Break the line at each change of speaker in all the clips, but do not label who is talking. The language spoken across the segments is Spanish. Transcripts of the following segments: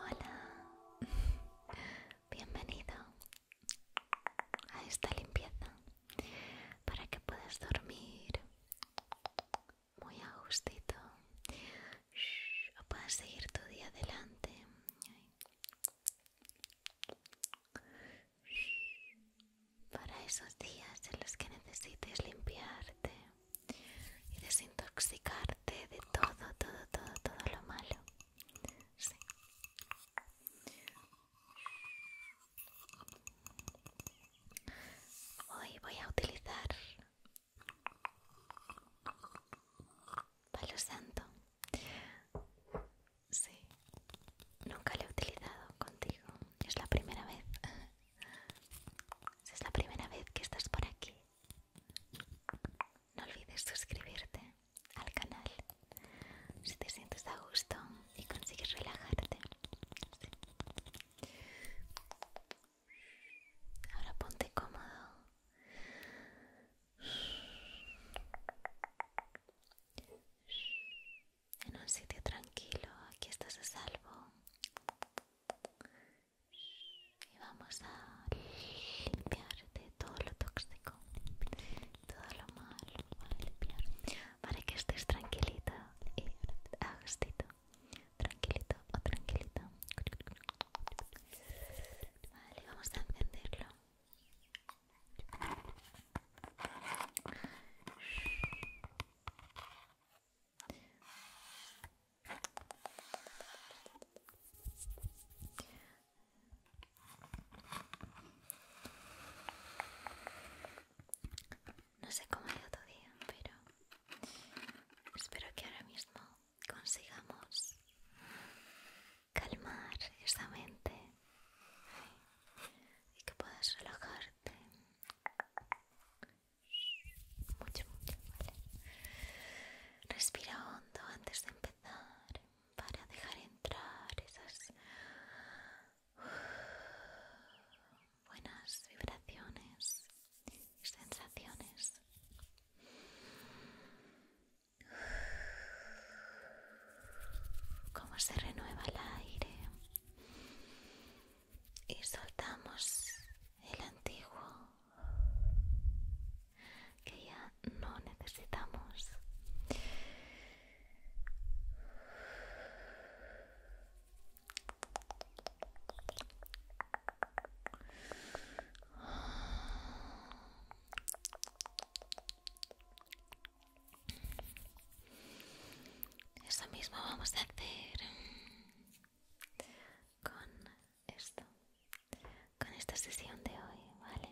Hola, bienvenido a esta limpieza para que puedas dormir muy a gustito o puedas seguir tu día adelante. para esos días en los que necesites limpiarte y desintoxicarte de todo, todo, todo, todo lo malo. Sí. Hoy voy a utilizar palo santo. Sí, nunca lo he utilizado contigo. Es la primera vez. Es la primera vez que estás por aquí. No olvides suscribirte al canal si te sientes a gusto y consigues relajarte. Ahora ponte cómodo. En un sitio tranquilo, aquí estás a salvo y vamos a limpiar de todo lo tóxico, todo lo malo, limpiar para que estés tranquilito y tranquilito o tranquilita. Vale, vamos a encenderlo. No sé cómo ha ido tu día, pero espero que ahora mismo consigamos calmar esta mente y que puedas relajarte mucho, mucho, Respira hondo antes de empezar para dejar entrar esas buenas vibraciones y sensaciones. como se renueva el aire y soltamos el antiguo que ya no necesitamos. Eso mismo vamos a hacer con esto, con esta sesión de hoy, ¿vale?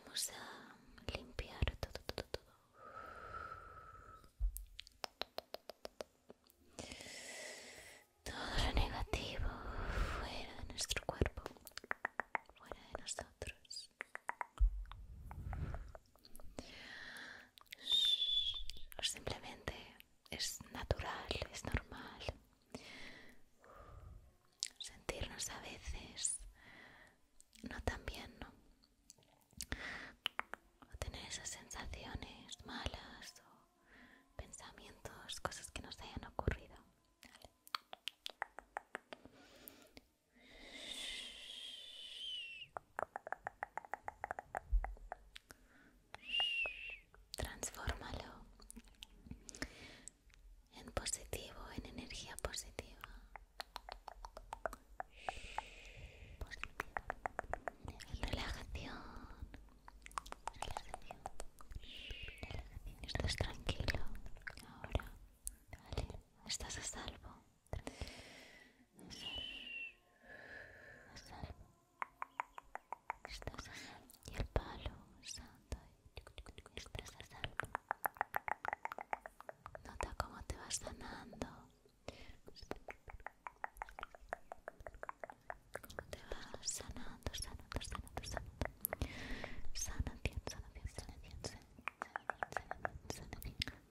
Vamos a limpiar todo, todo, todo. Todo lo negativo fuera de nuestro cuerpo, fuera de nosotros. Simplemente es natural, es normal sentirnos a veces no tan bien, ¿no? O tener esas sensaciones malas o pensamientos, cosas que nos hayan ocurrido. Transfórmalo en positivo, en energía positiva. En relajación. Relajación. Relajación. Estás tranquilo ahora. Vale, estás a salvo. A salvo. Estás a salvo. Y el palo santo. Estás a salvo. Nota cómo te vas sanando. Como te vas sanando, sanando, sanando, sanando. Sana, bien, sana, sana, Sanación,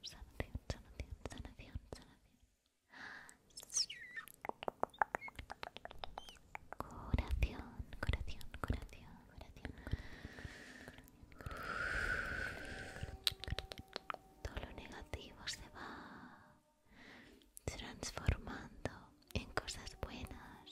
sanación, sanación, sanación, sanación. Coración, corazón, corazón, corazón. Todo lo negativo se va transformando en cosas buenas.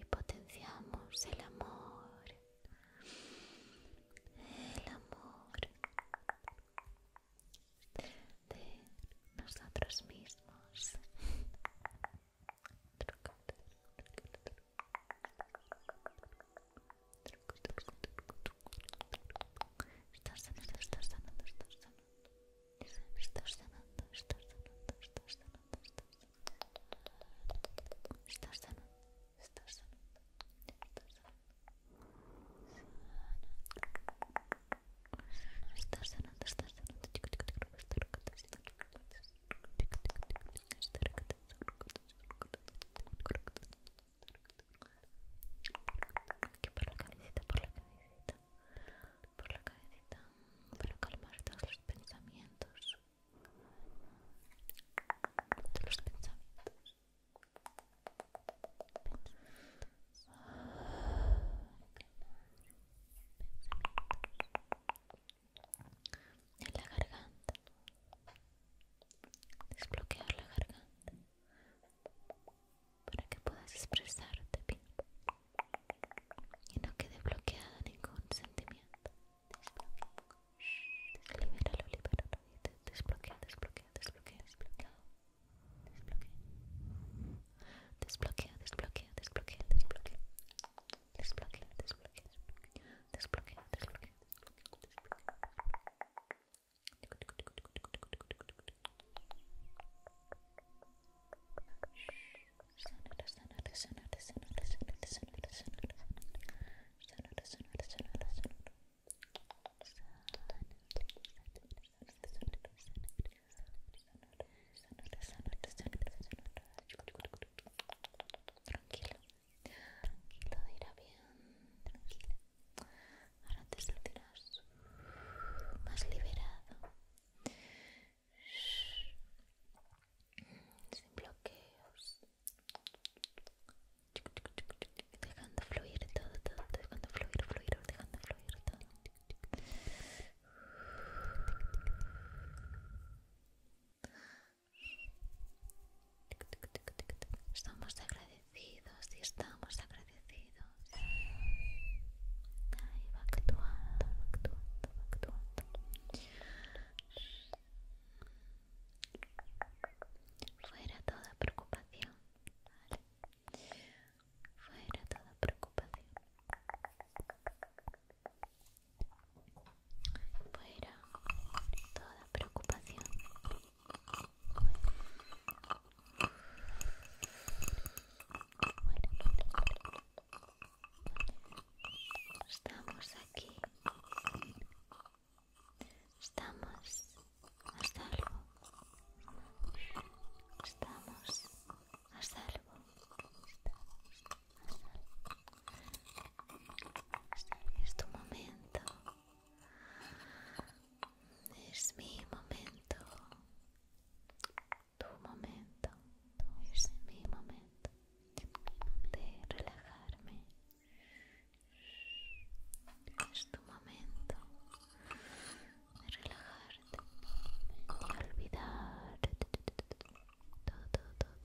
y potenciamos el amor, el amor de nosotros mismos. Estás sanando, estás sanando, estás sanando. Estás sanando, estás sanando, estás sanando, estás sanando. Estás sanando estás estás Estás sanando, estás sanando, Aquí por la por la para calmar todos los pensamientos de los pensamientos. pensamientos. En la garganta. Desbloquear la garganta para que puedas expresarte bien y no quede bloqueada ningún sentimiento. Desbloquea. Libéralo, libéralo. Desbloquea, desbloquea, desbloquea, desbloquea. desbloquea, desbloquea, desbloquea. Desbloquea, desbloquea, desbloquea, desbloquea, desbloquea. Tranquilo, tranquilo, irá bien, Ahora te sentirás más liberado sin bloqueos dejando fluir todo, todo, dejando fluir, fluir, dejando fluir todo Estamos agradecidos y estamos agradecidos. Ahí va actuando, Fuera toda preocupación, ¿vale? Fuera toda preocupación. Fuera toda preocupación. Estamos aquí. Estamos a salvo. Estamos a salvo. Es tu momento. Es mi momento. Tu momento. Es mi momento de relajarme. Es tu momento de relajarte de olvidar todo, todo,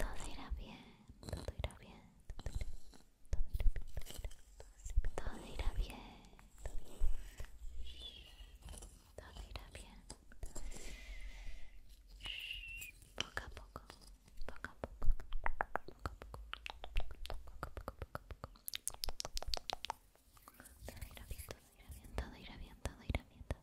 Todo irá bien, todo irá bien, todo irá bien, todo irá bien, Poco a poco, poco a poco, poco a poco, Todo irá bien, todo irá bien, todo irá bien, todo irá bien,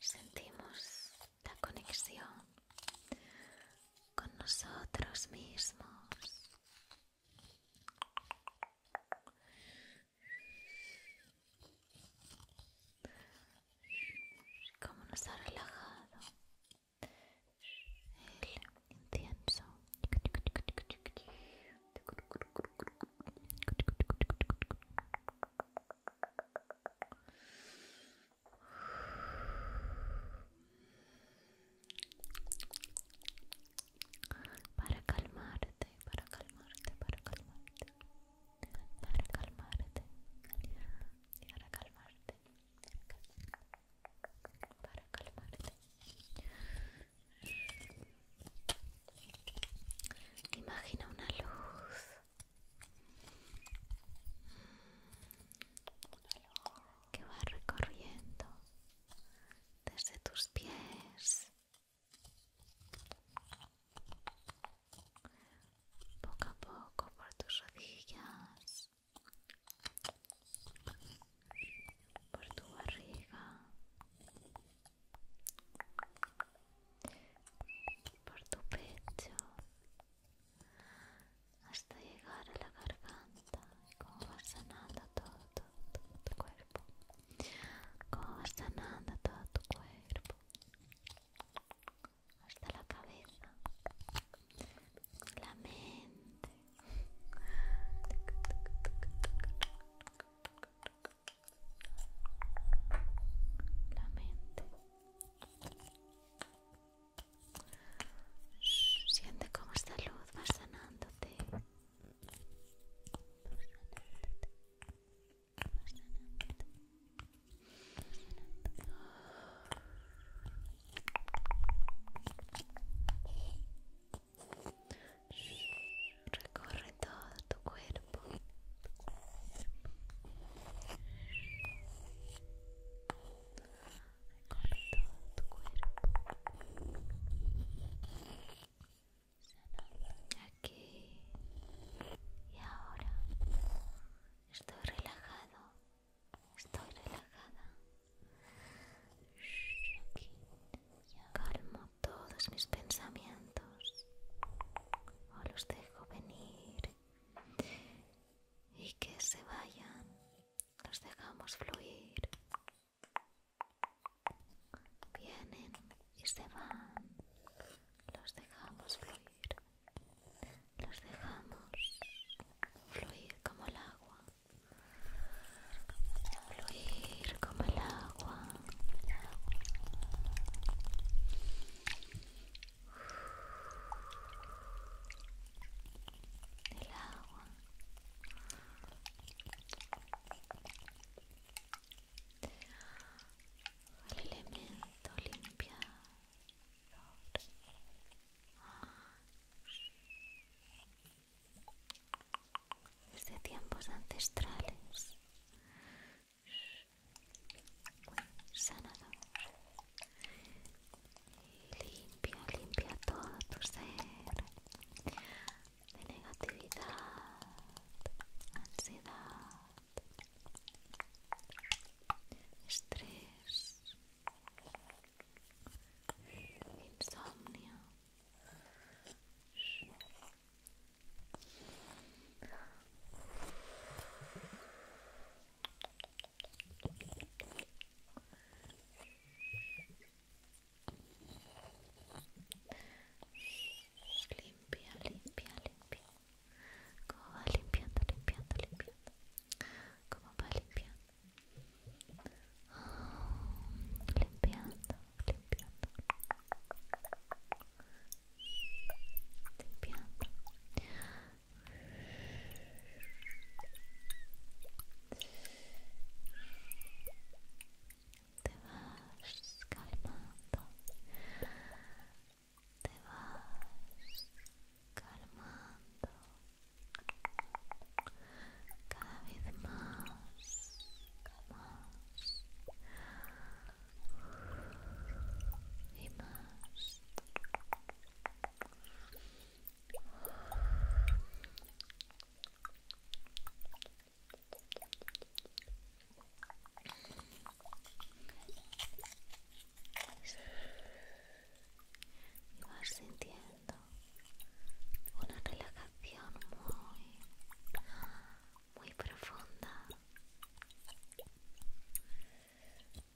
sentimos la conexión con nosotros mismos. Como nos ha relajado el incienso. Para calmarte, para calmarte, para calmarte. Para calmarte. Para calmarte. Para calmarte. Para calmarte. Imagina una luz. Que va recorriendo desde tus pies, poco a poco por tus rodillas, por tu barriga, por tu pecho hasta llegar a la garganta y cómo vas sanando todo, tu cuerpo cómo vas sanando todo tu cuerpo hasta la cabeza la mente la mente. Siente cómo esta luz va sanándote. Recorre todo tu cuerpo. Recorre todo tu cuerpo. Aquí y ahora estoy relajado, estoy relajada. Aquí, calmo todos mis pensamientos o los dejo venir y que se vayan, los dejamos fluir, vienen y se van, los dejamos fluir, los dejamos fluir como el agua fluir como el agua. El agua el elemento limpia de tiempos ancestrales, sanador y limpia, limpia todo tu ser de negatividad, ansiedad, estrés, insomnio. Limpia, limpia, limpia. Como va limpiando, limpiando, limpiando. Como va limpiando. Oh, limpiando limpiando te vas calmando te vas calmando cada vez más más y más y vas sintiendo una relajación muy, muy profunda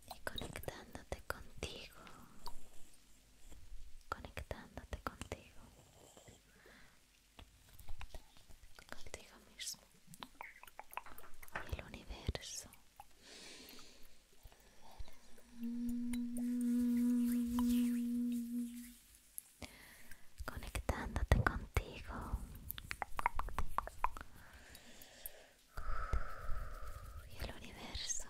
y conectándote contigo, conectándote contigo, contigo mismo y el universo conectándote contigo. Y el universo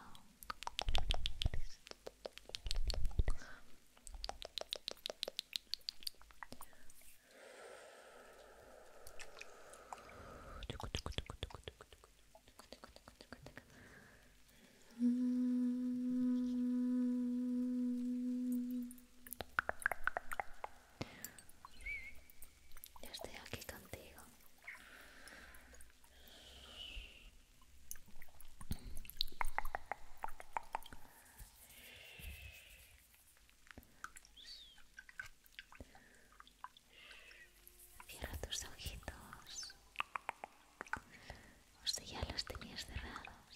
estoy aquí contigo. Cierra tus ojitos o si ya los tenías cerrados.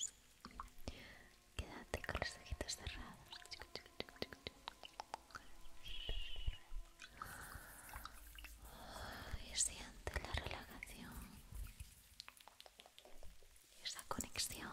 Quédate con los ojitos cerrados. Y siente la relajación. Esa conexión.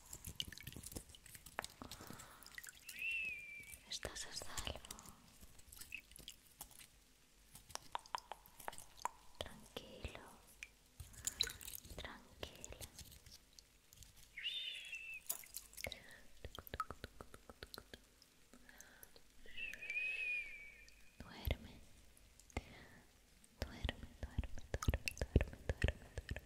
Estás a salvo. Tranquilo. tranquilo. Duerme. Duerme, duerme, duerme, duerme, duerme, duerme.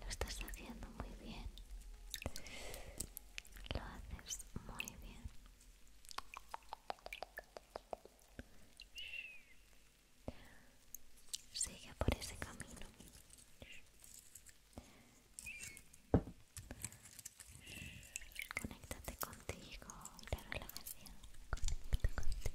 Lo estás haciendo muy bien. Lo haces muy bien. Sigue por ese camino. Conéctate contigo, la relajación. Conéctate contigo.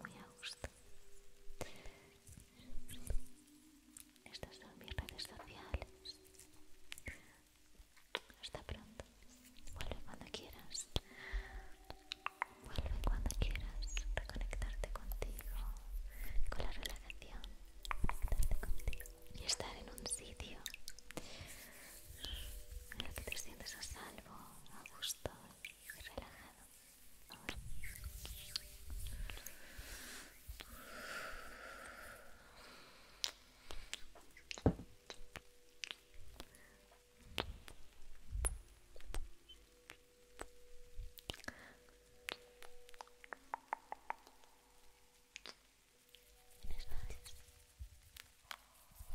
muy a gusto. Estas son mis redes sociales. Hasta pronto. Vuelve cuando quieras. Vuelve cuando quieras. Reconectarte contigo. Con la relajación. contigo. Y estar en un sitio en el que te sientes a salvo, a gusto y relajado. Buenas noches.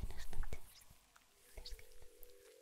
Buenas noches. Descansa.